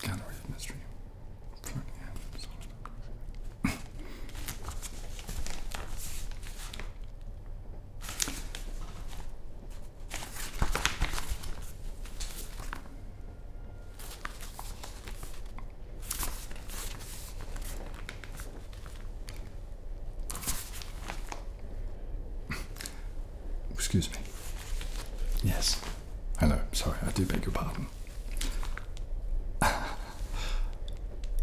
Gallery of Mystery. Floating hands. Excuse me. Yes. Hello. Sorry, I do beg your pardon.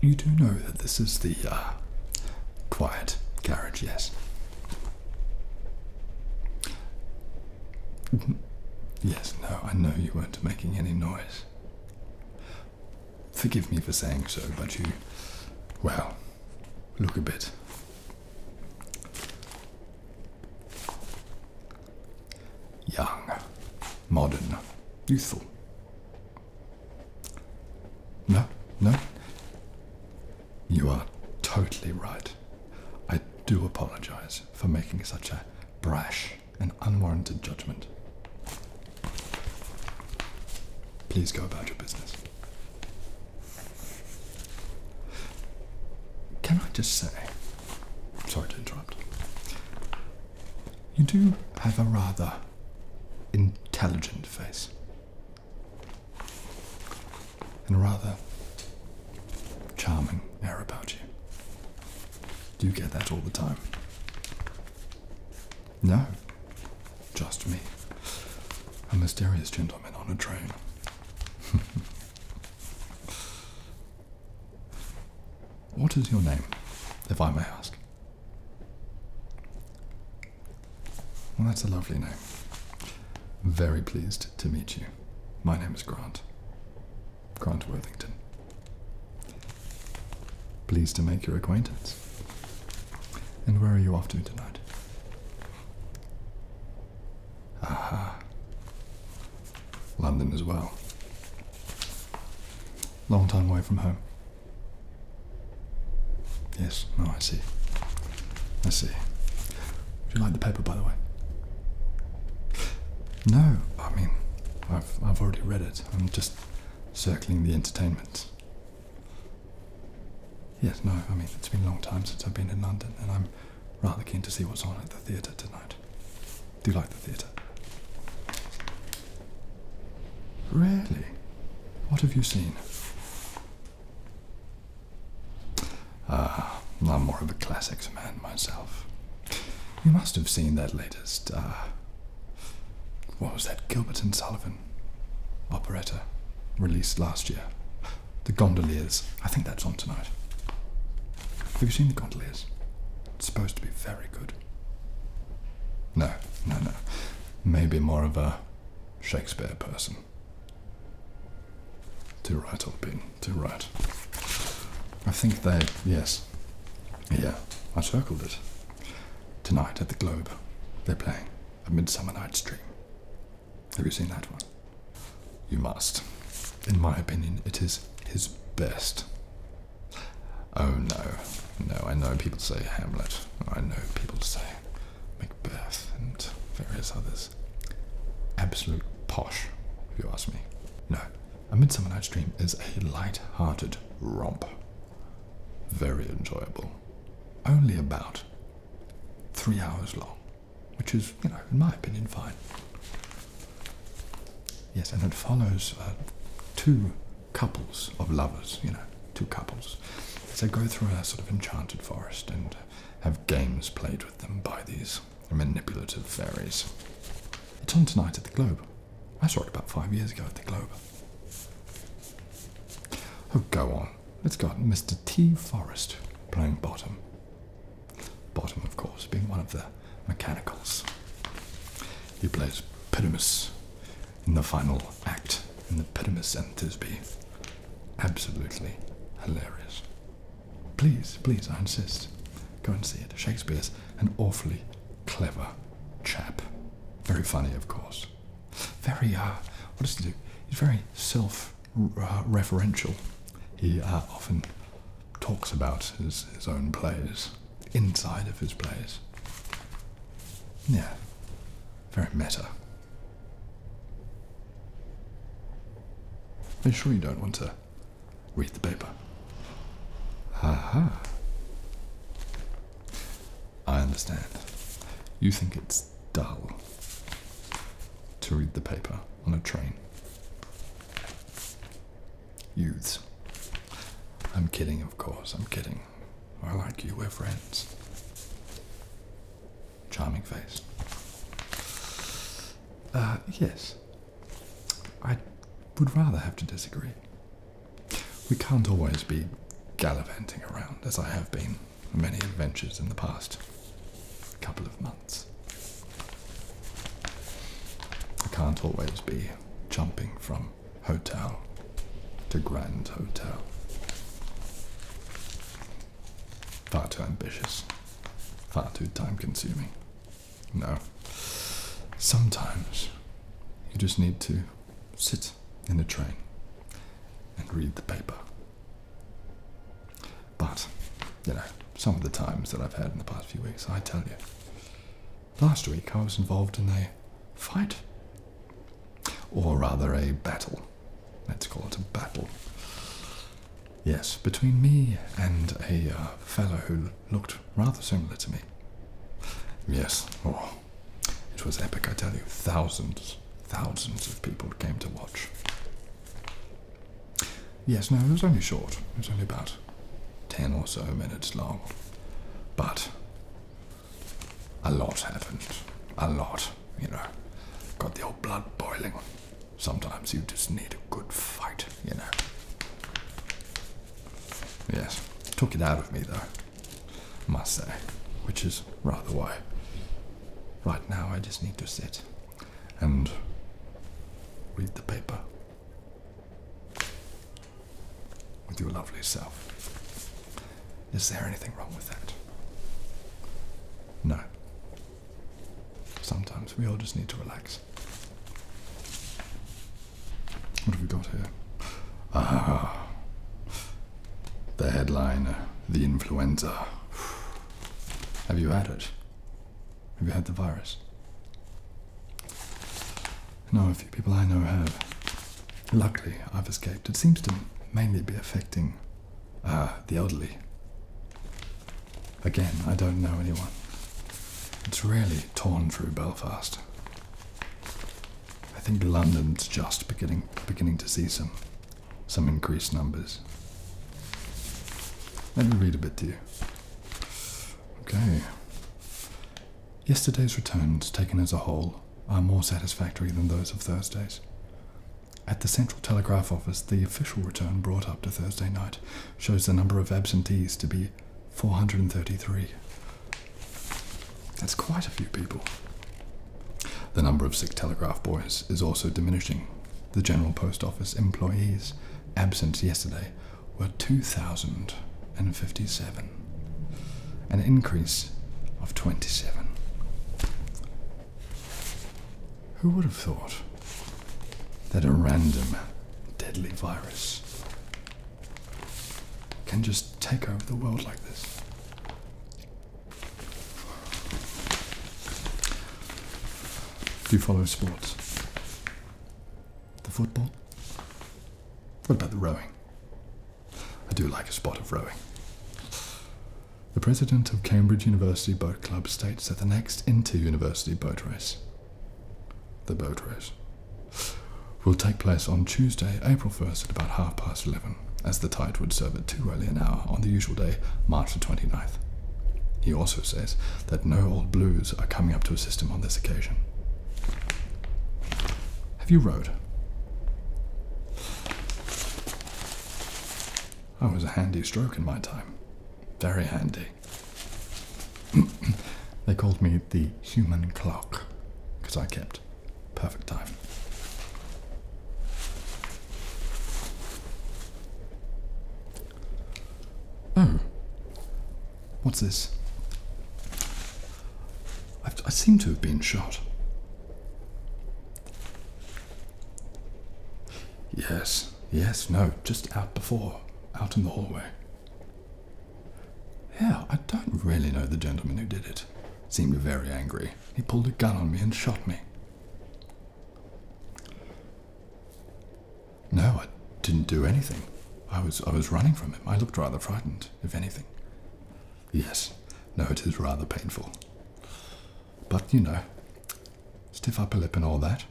you do know that this is the uh, quiet carriage, yes. Mm-hmm. Yes, no, I know you weren't making any noise. Forgive me for saying so, but you. well look a bit. Young, modern, youthful. No, no. You are totally right. I do apologize for making such a brash and unwarranted judgment. Please go about your business. Can I just say, sorry to interrupt, you do have a rather intelligent face. And a rather charming air about you. Do you get that all the time? No. Just me. A mysterious gentleman on a train. what is your name, if I may ask? Well, that's a lovely name. Very pleased to meet you. My name is Grant. Grant Worthington. Pleased to make your acquaintance. And where are you off to tonight? Aha. London as well. Long time away from home. Yes, no, oh, I see. I see. If you like the paper, by the way? No, I mean, I've, I've already read it. I'm just circling the entertainment. Yes, no, I mean, it's been a long time since I've been in London, and I'm rather keen to see what's on at the theatre tonight. Do you like the theatre? Really? What have you seen? Ah, I'm more of a classics man myself. You must have seen that latest, uh, what was that, Gilbert and Sullivan Beethoven operetta released last year. The Gondoliers. I think that's on tonight. Have you seen The Gondoliers? It's supposed to be very good. No, no, no. Maybe more of a Shakespeare person. Too right, old bin. Too right. I think they, yes. Yeah, I circled it. Tonight at the Globe, they're playing A Midsummer Night's Dream. Have you seen that one? You must. In my opinion, it is his best. Oh no, no, I know people say Hamlet, I know people say Macbeth and various others. Absolute posh, if you ask me. No, A Midsummer Night's Dream is a light-hearted romp. Very enjoyable. Only about three hours long, which is, you know, in my opinion, fine. Yes, and it follows uh, two couples of lovers, you know, two couples, as they go through a sort of enchanted forest and have games played with them by these manipulative fairies. It's on tonight at the Globe. I saw it about five years ago at the Globe. Oh, go on. It's got Mr. T. Forrest playing bottom. Bottom, of course, being one of the mechanicals. He plays Pyramus in the final act in the Pyramus and Thisbe. Absolutely hilarious. Please, please, I insist. Go and see it. Shakespeare's an awfully clever chap. Very funny, of course very uh, what does he do? He's very self-referential. He uh, often talks about his own plays inside of his plays. Yeah, very meta. I'm sure you don't want to read the paper? Aha. I understand. You think it's dull to read the paper on a train. Youths. I'm kidding, of course, I'm kidding. I like you, we're friends. Charming face. Uh, yes. I would rather have to disagree. We can't always be gallivanting around as I have been many adventures in the past couple of months. I can't always be jumping from hotel to grand hotel. Far too ambitious, far too time consuming. No. Sometimes you just need to sit in a train and read the paper. But, you know, some of the times that I've had in the past few weeks, I tell you. Last week I was involved in a fight, or rather a battle. Let's call it a battle. Yes, between me and a uh, fellow who looked rather similar to me. Yes, oh, it was epic, I tell you. Thousands, thousands of people came to watch. Yes, no, it was only short. It was only about 10 or so minutes long. But a lot happened. A lot, you know. Got the old blood boiling. Sometimes you just need a good fight, you know. Yes, took it out of me though must say, which is rather why right now I just need to sit and read the paper with your lovely self. Is there anything wrong with that? No. Sometimes we all just need to relax. What have we got here? Ah, the headline, uh, the influenza. Have you had it? Have you had the virus? No, a few people I know have. Luckily, I've escaped. It seems to mainly be affecting uh, the elderly. Again, I don't know anyone. It's really torn through Belfast. I think London's just beginning beginning to see some some increased numbers. Let me read a bit to you. Okay. Yesterday's returns, taken as a whole, are more satisfactory than those of Thursday's. At the Central Telegraph Office, the official return brought up to Thursday night shows the number of absentees to be 433. That's quite a few people. The number of sick telegraph boys is also diminishing. The General Post Office employees absent yesterday were 2,057, an increase of 27. Who would have thought that a random deadly virus can just take over the world like this. Do you follow sports? The football? What about the rowing? I do like a spot of rowing. The president of Cambridge University Boat Club states that the next inter-university boat race, the boat race, will take place on Tuesday, April 1st at about half past 11, as the tide would serve at too early an hour on the usual day, March the 29th. He also says that no old blues are coming up to assist him on this occasion. Have you rowed? Oh, I was a handy stroke in my time. Very handy. they called me the human clock because I kept Perfect time. Oh. Hmm. What's this? I seem to have been shot. Yes, yes, no, just out before, out in the hallway. Yeah, I don't really know the gentleman who did it. Seemed very angry. He pulled a gun on me and shot me. No, I didn't do anything. I was I was running from him. I looked rather frightened, if anything. Yes. No, it is rather painful. But you know, stiff upper lip and all that.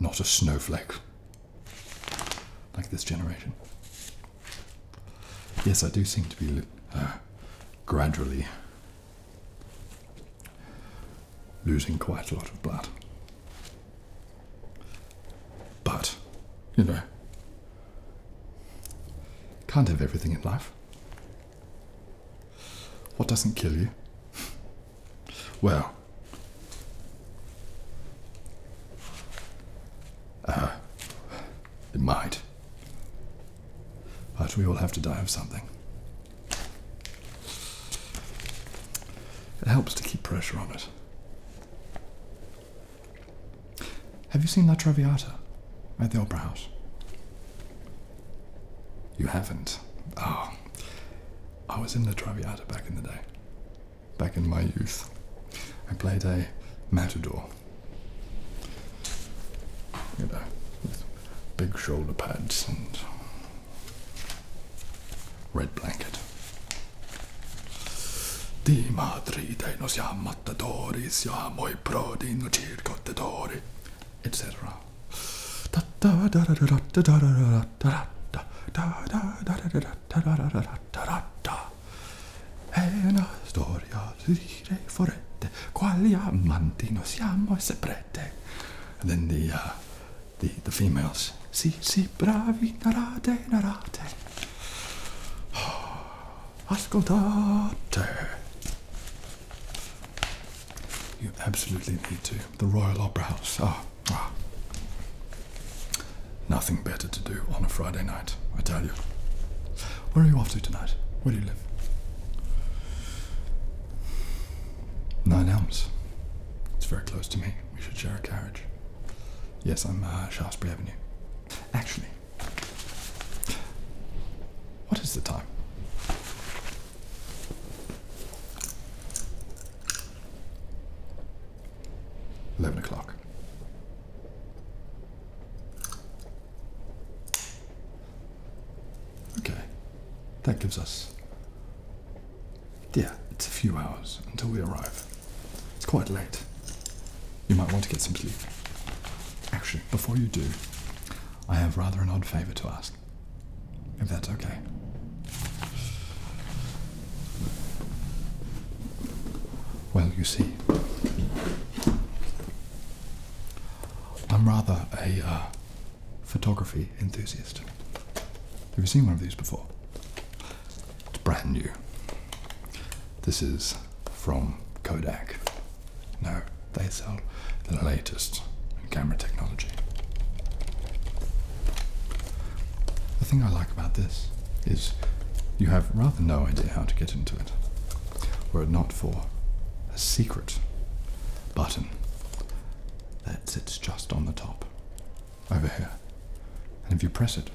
Not a snowflake like this generation. Yes, I do seem to be uh, gradually losing quite a lot of blood. But, you know, can't have everything in life. What doesn't kill you? Well, uh, in mind. But we all have to die of something. It helps to keep pressure on it. Have you seen La Traviata at the Opera House? You haven't? Oh, I was in La Traviata back in the day back in my youth. I played a matador, you know, big shoulder pads and red blanket. Di madri dei nos ja matadoris, ja moi prodi no etc da da È una storia di re quali amanti noi siamo e seprete. And then the, the, females, sì sì bravi, narate, narate. Ascoltate. You absolutely need to. The Royal Opera House. ah. ah. Nothing better to do on a Friday night, I tell you. Where are you off to tonight? Where do you live? Nine Elms. It's very close to me. We should share a carriage. Yes, I'm uh, Shaftesbury Avenue. Actually, what is the time? 11 o'clock. Okay, that gives us, yeah, it's a few hours until we arrive. It's quite late. You might want to get some sleep. Actually, before you do, I have rather an odd favour to ask, if that's okay. Well, you see, I'm rather a uh, photography enthusiast. Have you seen one of these before? It's brand new. This is from Kodak. No, they sell the latest camera technology. The thing I like about this is you have rather no idea how to get into it, were it not for a secret button that sits just on the top over here. And if you press it,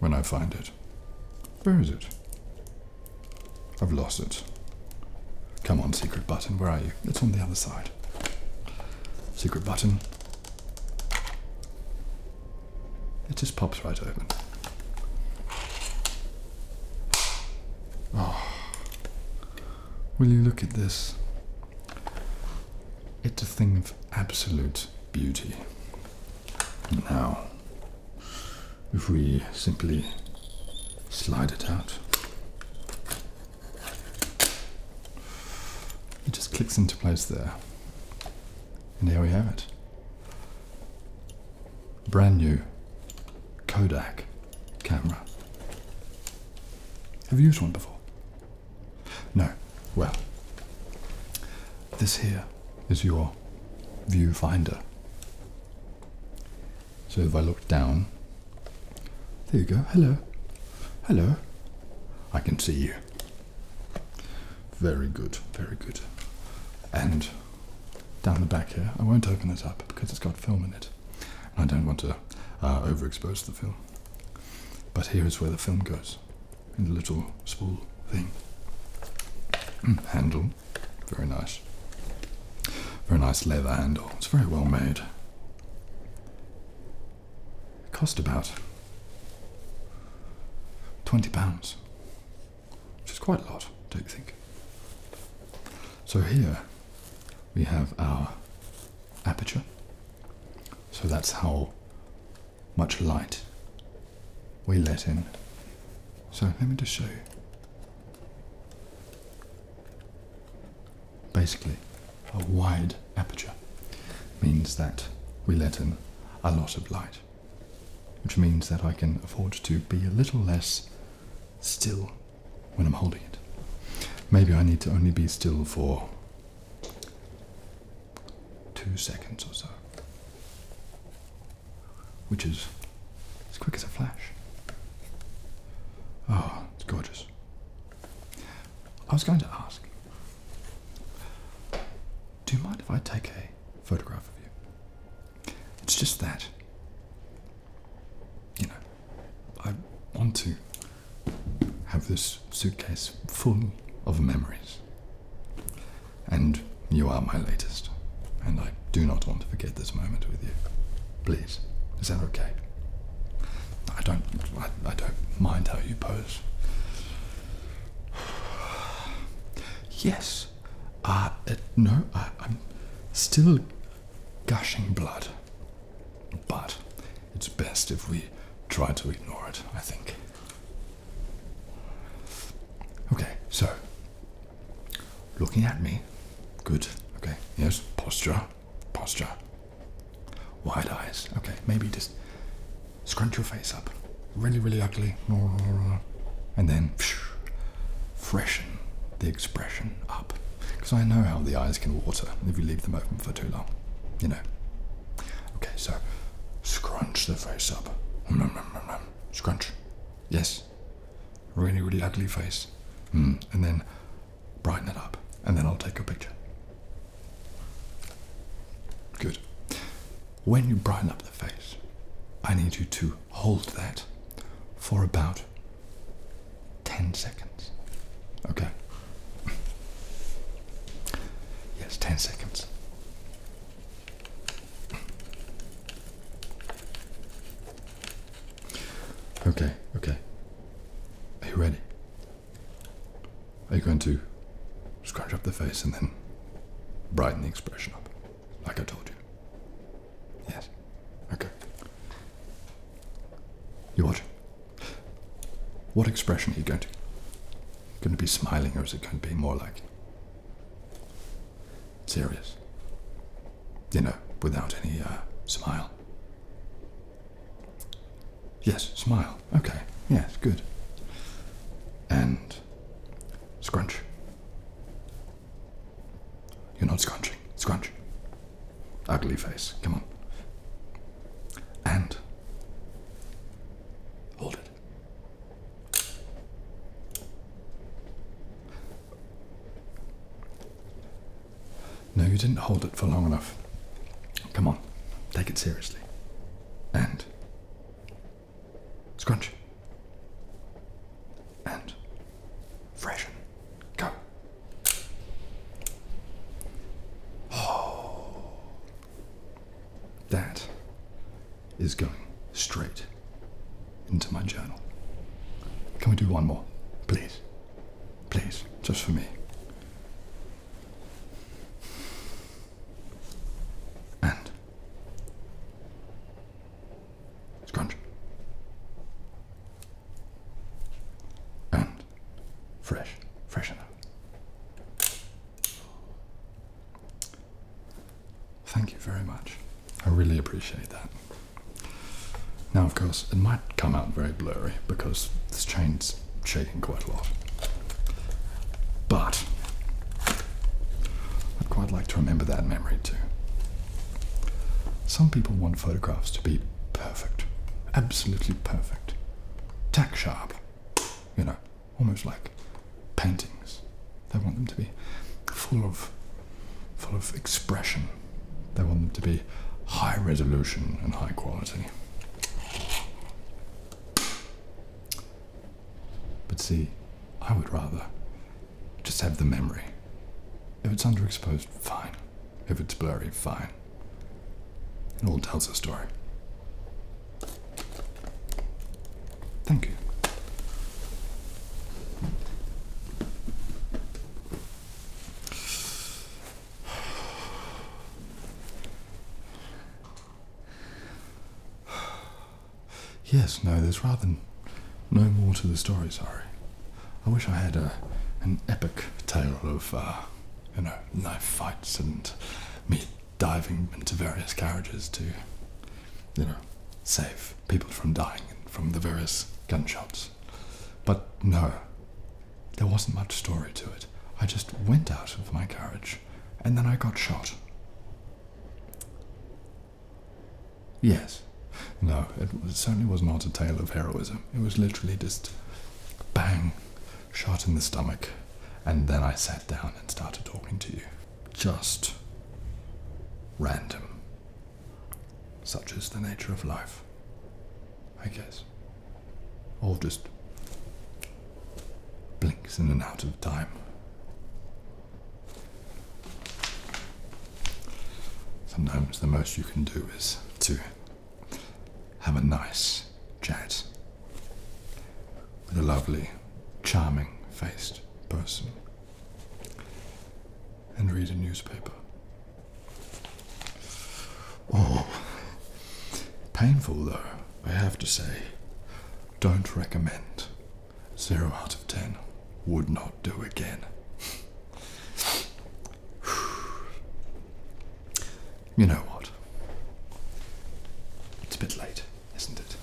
when I find it, where is it? I've lost it. Come on, secret button, where are you? It's on the other side. Secret button, it just pops right open. Oh, will you look at this? It's a thing of absolute beauty. Now, if we simply slide it out, it just clicks into place there. And here we have it. Brand new Kodak camera. Have you used one before? No. Well, this here is your viewfinder. So if I look down, there you go. Hello. Hello. I can see you. Very good. Very good. And down the back here, I won't open this up because it's got film in it. And I don't want to uh, overexpose the film. But here is where the film goes in the little spool thing. Mm, handle. Very nice. Very nice leather handle. It's very well made. It cost about twenty pounds, which is quite a lot, don't you think? So here we have our aperture. So that's how much light we let in. So let me just show you. Basically, a wide aperture means that we let in a lot of light, which means that I can afford to be a little less still when I'm holding it. Maybe I need to only be still for two seconds or so, which is as quick as a flash. Oh, it's gorgeous. I was going to ask, do you mind if I take a photograph of you? It's just that, you know, I want to have this suitcase full of memories. And you are my latest, and I do not want to forget this moment with you. Please, is that okay? I don't, I, don't mind how you pose. Yes, uh, it, no, I'm still gushing blood, but it's best if we try to ignore it, I think. Okay, so looking at me, good, okay, yes, posture posture, wide eyes. Okay, maybe just scrunch your face up, really, really ugly, and then freshen the expression up. Because I know how the eyes can water if you leave them open for too long, you know. Okay, so scrunch the face up. Scrunch. Yes. Really, really ugly face. Hmm. And then brighten it up, and then I'll take your picture. Good. When you brighten up the face, I need you to hold that for about 10 seconds. Okay? Yes, 10 seconds. Okay, okay. Are you ready? Are you going to scrunch up the face and then brighten the expression up, like I told you? Yes. Okay. You watch. What expression are you going to? Going to be smiling, or is it going to be more like serious? You know, without any uh, smile. Yes, smile. Okay. Yes, good. And scrunch. You're not scrunching. Scrunch. Ugly face. Come on. And hold it. No, you didn't hold it for long enough. Come on, take it seriously. And. Scrunch. And. Freshen. Go. Oh. That is going straight into my journal. Can we do one more? Please. Please. Just for me. And scrunch. And fresh, freshen up. Thank you very much. I really appreciate that. Now, of course, it might come out very blurry because this chain's shaking quite a lot. But I'd quite like to remember that memory too. Some people want photographs to be perfect, absolutely perfect, tack sharp, you know, almost like paintings. They want them to be full of full of expression they want them to be high resolution and high quality. But see, I would rather just have the memory. If it's underexposed, fine. If it's blurry, fine. It all tells a story. Thank you. Yes, no, there's rather no more to the story, sorry. I wish I had a, uh, an epic tale of, uh, you know, knife fights and me diving into various carriages to, you know, save people from dying from the various gunshots. But no, there wasn't much story to it. I just went out of my carriage and then I got shot. Yes. No, it certainly was not a tale of heroism. It was literally just bang, shot in the stomach, and then I sat down and started talking to you. Just random. Such is the nature of life, I guess. All just blinks in and out of time. Sometimes the most you can do is to have a nice chat with a lovely, charming faced person and read a newspaper. Oh, painful though, I have to say. Don't recommend. Zero out of ten. Would not do again. you know what? It's a bit late, isn't it?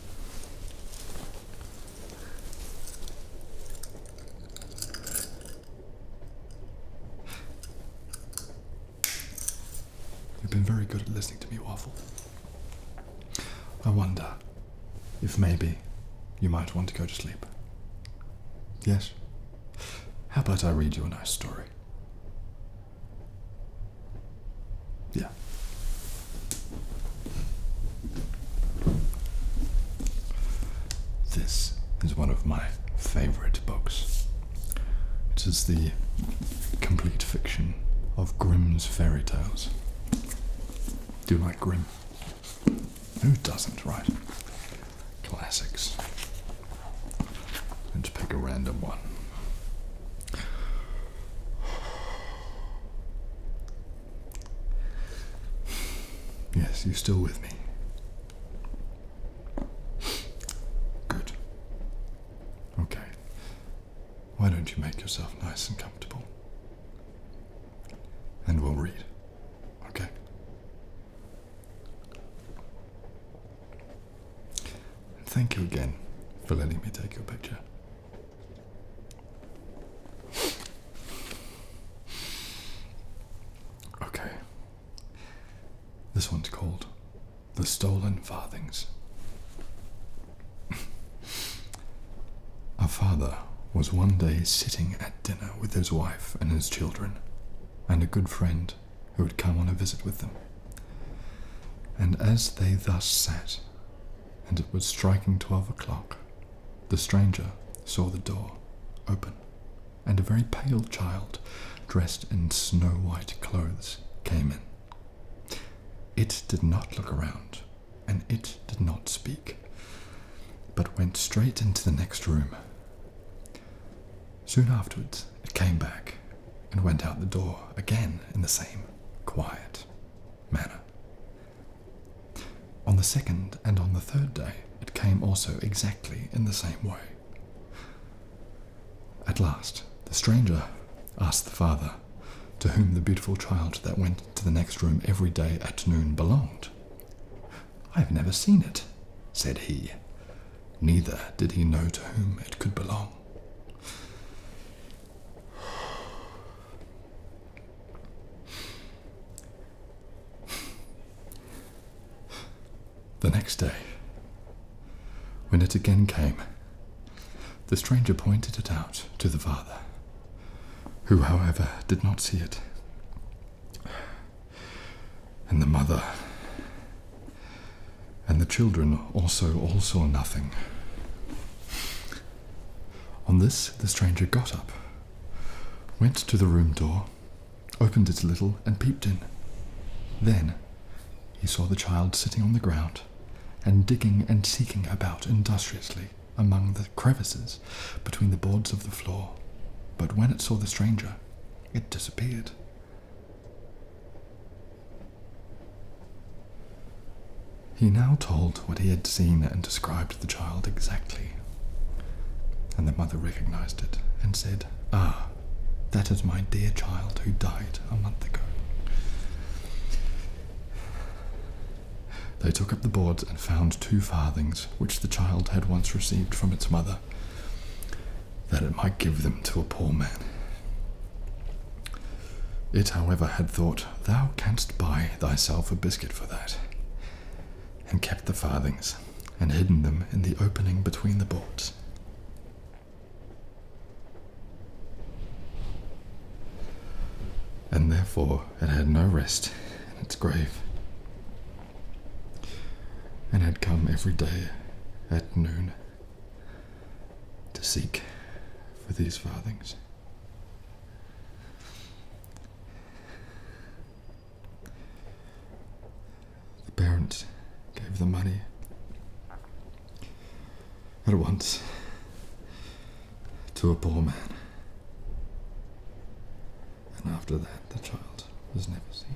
You've been very good at listening to me waffle. I wonder if maybe you might want to go to sleep. Yes? How about I read you a nice story? Yeah. This is one of my favorite books. It is the complete fiction of Grimm's fairy tales. Do you like Grimm? Who doesn't, right? Classics. Let's pick a random one. Yes, you are still with me? Good. Okay. Why don't you make yourself nice and comfortable? And we'll read. Okay. thank you again for letting me take your picture. Okay. This one's called The Stolen Farthings. Our father was one day sitting at dinner with his wife and his children, and a good friend who had come on a visit with them. And as they thus sat, and it was striking twelve o'clock, the stranger saw the door open, and a very pale child, dressed in snow white clothes, came in. It did not look around, and it did not speak, but went straight into the next room. Soon afterwards, it came back and went out the door again in the same quiet manner. On the second and on the third day, it came also exactly in the same way. At last, the stranger asked the father, to whom the beautiful child that went to the next room every day at noon belonged. I have never seen it, said he. Neither did he know to whom it could belong. The next day, when it again came, the stranger pointed it out to the father, who, however, did not see it. And the mother and the children also all saw nothing. On this, the stranger got up, went to the room door, opened it a little, and peeped in. Then he saw the child sitting on the ground, and digging and seeking about industriously among the crevices between the boards of the floor. But when it saw the stranger, it disappeared. He now told what he had seen and described the child exactly. And the mother recognized it and said, Ah, that is my dear child who died a month ago. They took up the boards and found two farthings which the child had once received from its mother, that it might give them to a poor man. It, however, had thought, Thou canst buy thyself a biscuit for that and kept the farthings, and hidden them in the opening between the boards. And therefore it had no rest in its grave, and had come every day at noon to seek for these farthings. The parents gave the money at once to a poor man. And after that, the child was never seen.